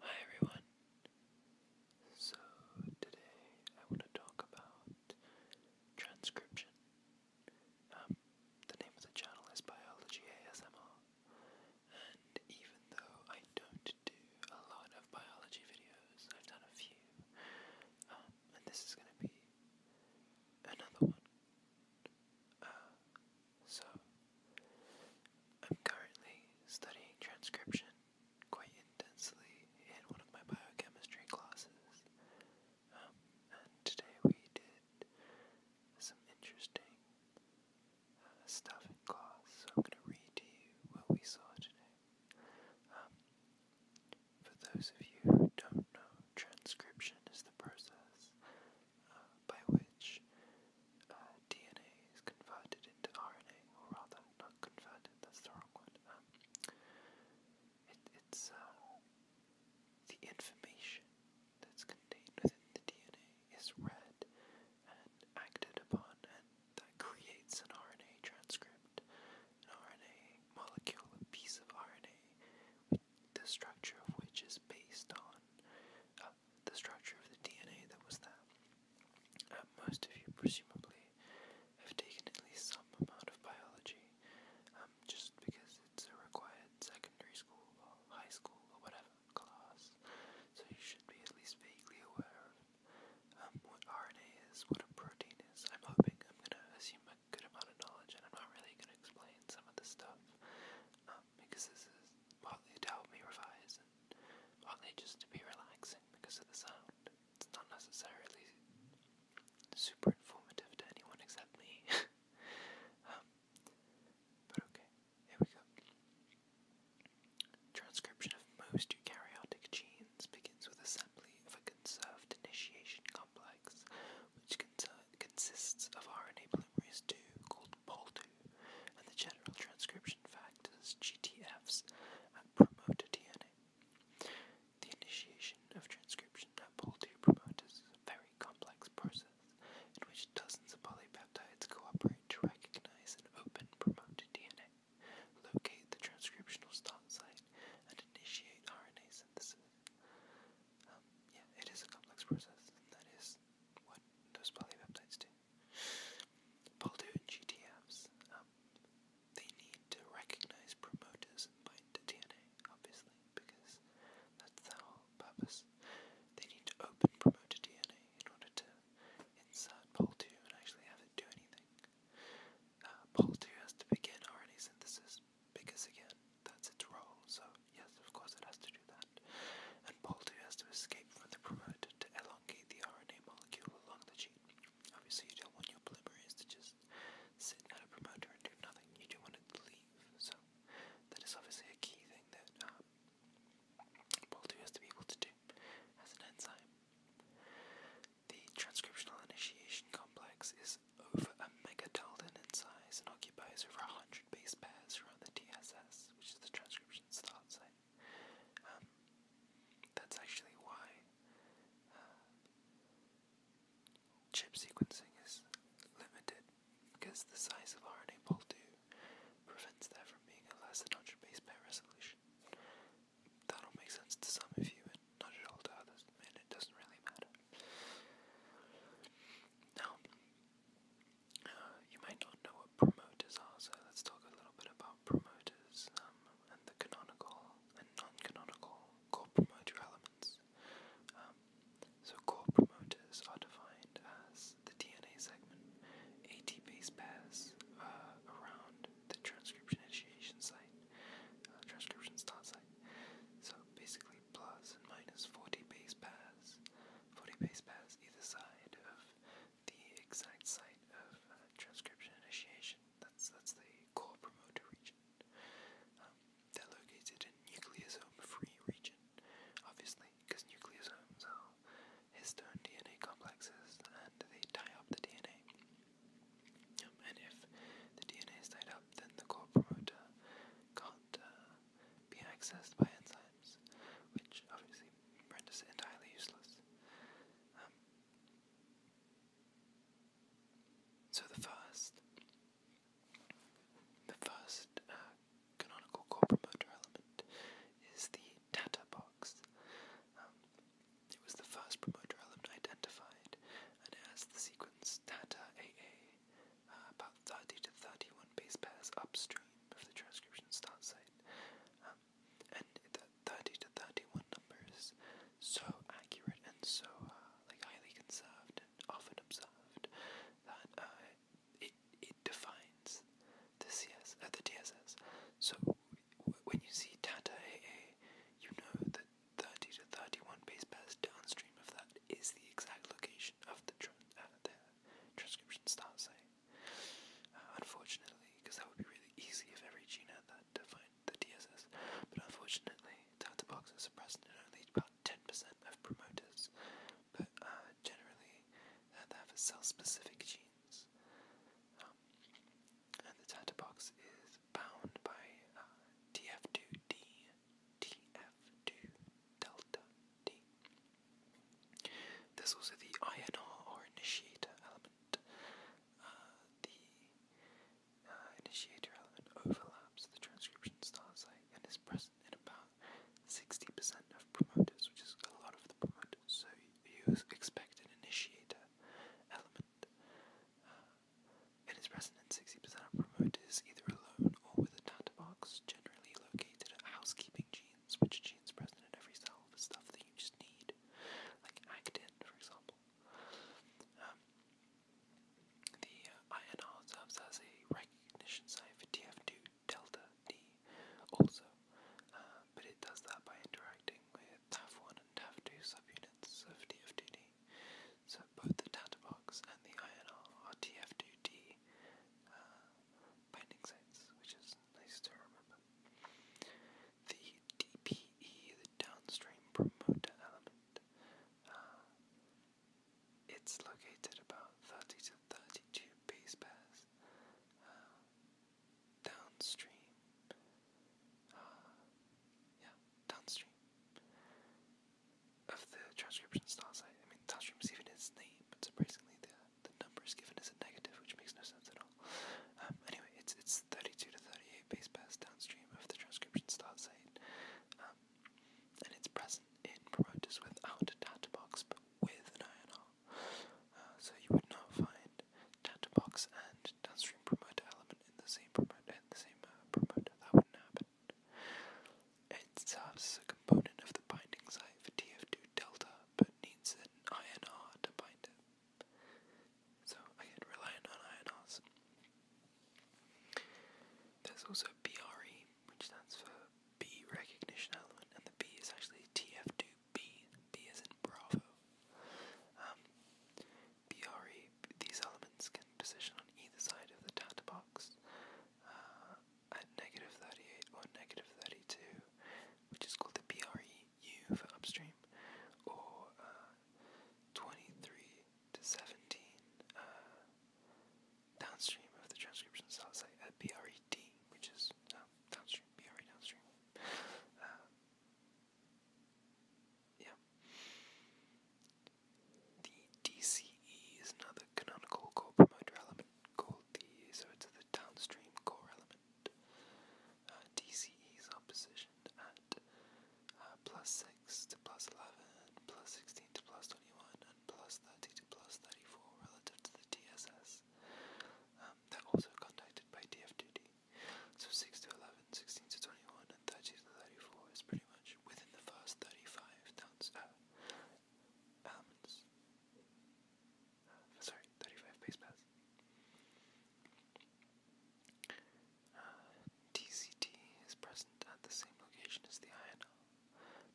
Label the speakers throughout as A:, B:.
A: Hi everyone. So today I want to talk about transcription. Um, the name of the channel is Biology ASMR, and even though I don't do a lot of biology videos, I've done a few, um, and this is going to be another one. Uh, so, I'm currently studying transcription quite intensely in one of my biochemistry classes. Um, and today we did some interesting uh, stuff in class, so I'm going to read to you what we saw today. Um, for those of you who don't know, transcription is the process by which uh, DNA is converted into RNA, or rather, not converted, that's the wrong word. Um, it's uh, the information that's contained within the DNA is read and acted upon, and that creates an RNA transcript, an RNA molecule, a piece of RNA, the structure of which is based on uh, the structure of the DNA that was there. Uh, most of you presumably have taken at least some amount of biology, um, just because it's a required secondary school or high school or whatever class, so you should be at least vaguely aware of um, what RNA is, what a protein is. I'm hoping I'm going to assume a good amount of knowledge, and I'm not really going to explain some of the stuff. Um, because this is partly to help me revise and partly just to be relaxing because of the sound. It's not necessarily super informative to anyone except me. Um, but okay, here we go. Transcription of most eukaryotic genes begins with assembly of a conserved initiation complex, which consists of RNA polymerase II called Pol2 and the general transcription factors GTFs promote promoter DNA. The initiation of transcription at pol II promoters is a very complex process in which dozens of polypeptides cooperate to recognize and open promoter DNA, locate the transcriptional start site, and initiate RNA synthesis. Um, yeah, it is a complex process, that is what those polypeptides do. Baldoon GTFs, um, they need to recognize promoters and bind to DNA, obviously, because that's the whole purpose. They need to open promoter DNA in order to insert Pol2 and actually have it do anything. Uh, Pol2 has to begin RNA synthesis, because again, that's its role, so Yes, of course it has to do that. And Pol II has to escape from the promoter to elongate the RNA molecule along the gene. Obviously, you don't want your polymerase to just sit at a promoter and do nothing. You do want it to leave. So, that is obviously a key thing that um, Pol II has to be able to do as an enzyme. The transcriptional initiation complex is over a megadalton in size and occupies over 100 base pairs around the TSS, which is the transcription. Um, that's actually why uh, chip sequencing is limited, because the size of RNA Pol 2 prevents that from being a less than 100 base pair resolution. That'll make sense to some of you, and not at all to others, and it doesn't really matter. Now, you might not know what promoters are, so let's talk a little bit about promoters um, and the canonical and non-canonical core promoter elements. Um, so core promoters are defined as the DNA segment, AT base pairs uh, around the transcription initiation site, uh, transcription start site. So basically, plus and minus 40 base pairs floating base paths either side of the exact site of uh, transcription initiation. That's that's the core promoter region. Um, they're located in nucleosome-free region, obviously, because nucleosomes are histone DNA complexes and they tie up the DNA. Um, and if the DNA is tied up, then the core promoter can't uh, be accessed by enzymes which obviously renders entirely useless. Um, so the first, the first uh, canonical core promoter element is the TATA box. Um, it was the first promoter element identified, and it has the sequence data AA, uh, about 30 to 31 base pairs upstream of the transcription start site. Um, and the 30 to 31 numbers, so accurate and so uh, like highly conserved and often observed that uh, it, it defines the CS, uh, the DSS. So when you see Tata AA, you know that 30 to 31 base pairs downstream of that is the exact location of the, uh, transcription start site. Uh, unfortunately, because that would be really easy if every gene had that defined the DSS, but unfortunately, the data box is present in only about 10% of promoters, but uh, generally, they have a cell-specific genes. Um, and the data box is bound by TF2D, tf 2 delta D. There's also the INR or initiator element. Uh, the uh, initiator element overlaps the transcription start site and is present in about 60% of promoters, which is a lot of the promoters. So you expect an initiator element uh, is present in 60% of promoters either alone or with a data box generally located at housekeeping genes genes, gene's present in every cell, the stuff that you just need, like actin, for example. Um, the uh, INR serves as a recognition site for TF2 delta D also, uh, but it does that by interacting with TAF1 and TAF2 subunits of TF2D. So both the box and the INR are TF2D binding sites, which is nice to remember. The DPE, the downstream promoter element, uh, it's located about 30 to 32 base pairs uh, downstream. Uh, yeah, downstream of the transcription star site. I mean, downstream is even its name, but surprisingly, the the number is given as a negative, which makes no sense at all. Um, anyway, it's it's 32 to 38 base pairs downstream of the transcription start site, um, and it's present in promoters without a data box but with an INR. Uh, so you would not find data box and downstream promoter element in the same promoter in the same uh, promoter. That wouldn't happen. It serves as a component of the binding site for TF2 delta but needs an INR to bind it. So again, relying on INRs. There's also BRE, which stands for B recognition element, and the B is actually TF2B, B is in Bravo. Um, BRE, these elements can position on either side of the data box, uh, at negative 38 or negative 32, which is called the PREU for upstream, or uh, 23 to 17 uh, downstream of the transcription cell site at PRED, which is uh, downstream, PRE downstream. yeah. The DCE is another canonical core promoter element called the, so it's the downstream core element. Uh, DCE's opposition at uh, 6 to plus 11, plus 16 to plus 21, and plus 30 to plus 34 relative to the TSS. Um, they're also contacted by DFDD. So 6 to 11, 16 to 21, and 30 to 34 is pretty much within the first 35 downs, uh, elements sorry, 35 base pairs. DCT uh, is present at the same location as the INL,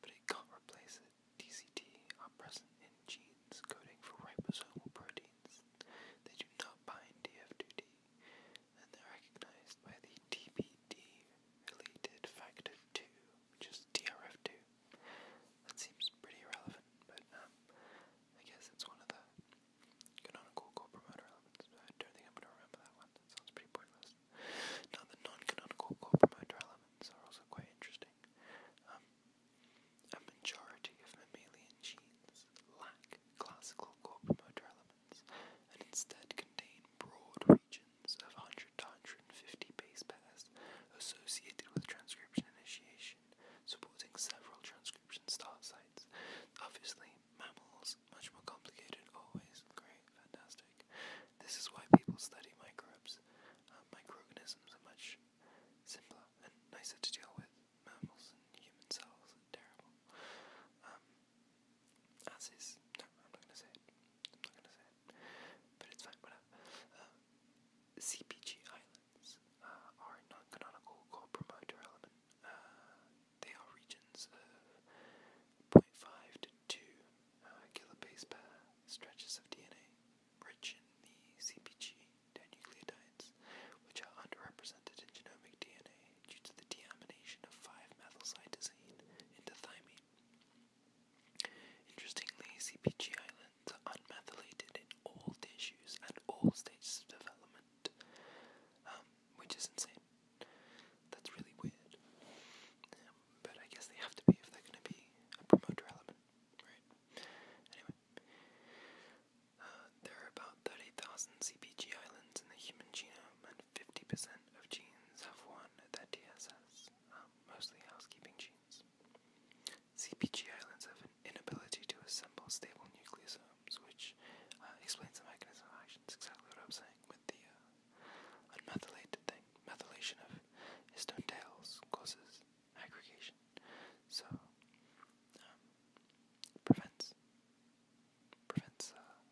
A: but it can't replace it. DCT are present in genes coding for ribosomal proteins. They do not bind df and they're recognized by the TBD related factor 2 which is 2 That seems pretty irrelevant, but um, I guess it's one of the canonical co-promoter elements. I don't think I'm going to remember that one. That sounds pretty pointless. Now, the non-canonical core promoter elements are also quite interesting. Um, a majority of mammalian genes lack classical core promoter elements and instead contain broad regions of 100 to base pairs associated with transcription initiation, supporting several transcription start sites. Obviously, mammals, much more complicated, always. Great, fantastic. This is why people study microbes. Uh, microorganisms are much simpler and nicer to deal with. Mammals and human cells are terrible. Um, No, I'm not going to say it. I'm not going to say it. But it's fine, whatever. Um, CPG Islands uh, are a non promoter element. Uh, they are regions of 0.5 to 2 uh, kilobase per stretches of DNA, rich in the CpG dinucleotides, which are underrepresented in genomic DNA due to the deamination of 5-methylcytosine into thymine. Interestingly, CPG islands are unmethylated in all tissues and all stages of development, um, which is insane. That's really weird. but I guess they have to be if they're going to be a promoter element, right? Anyway, uh, there are about 30,000 CPG islands in the human genome, and 50% of genes have one that TSS, um, mostly housekeeping genes. CPG islands have an inability to assemble stable nucleosomes, which uh, explains the mechanism of action. It's exactly what I am saying with the uh, unmethylated thing. Methylation of histone tails causes aggregation, so um, prevents prevents uh,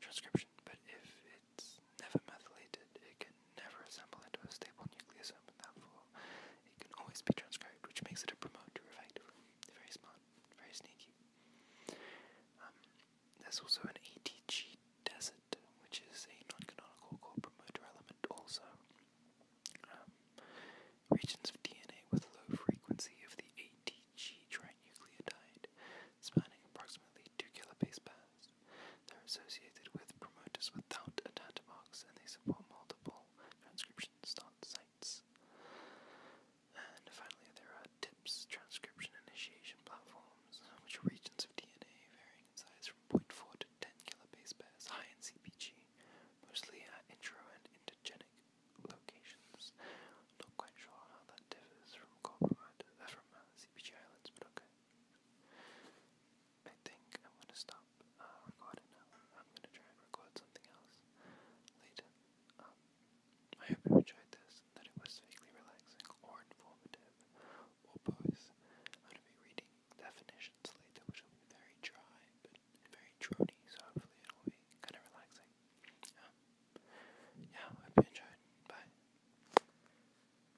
A: transcription. But if it it's never methylated. It can never assemble into a stable nucleosome in that It can always be transcribed, which makes it a promoter effectively. Very smart, very sneaky. Um, there's also an ATG desert, which is a non core promoter element also. Um, regions of DNA with low frequency of the ATG trinucleotide, spanning approximately Two kilobase pairs. They're associated with promoters without a data box and they support multiple transcription start sites. And finally, there are TIPS transcription initiation platforms, which are regions of DNA varying in size from 0.4 to 10 kilobase pairs, high in CPG, mostly at intro and intergenic locations. Not quite sure how that differs from core promoter, uh, from uh, CPG islands, but okay. I think I'm gonna stop uh, recording now. I'm gonna try and record something else later. Um, I hope you enjoyed this, that it was vaguely relaxing or informative or both. I'm gonna be reading definitions later, which will be very dry but very drony, so hopefully it'll be kind of relaxing. Um, yeah, I hope you enjoyed. Bye.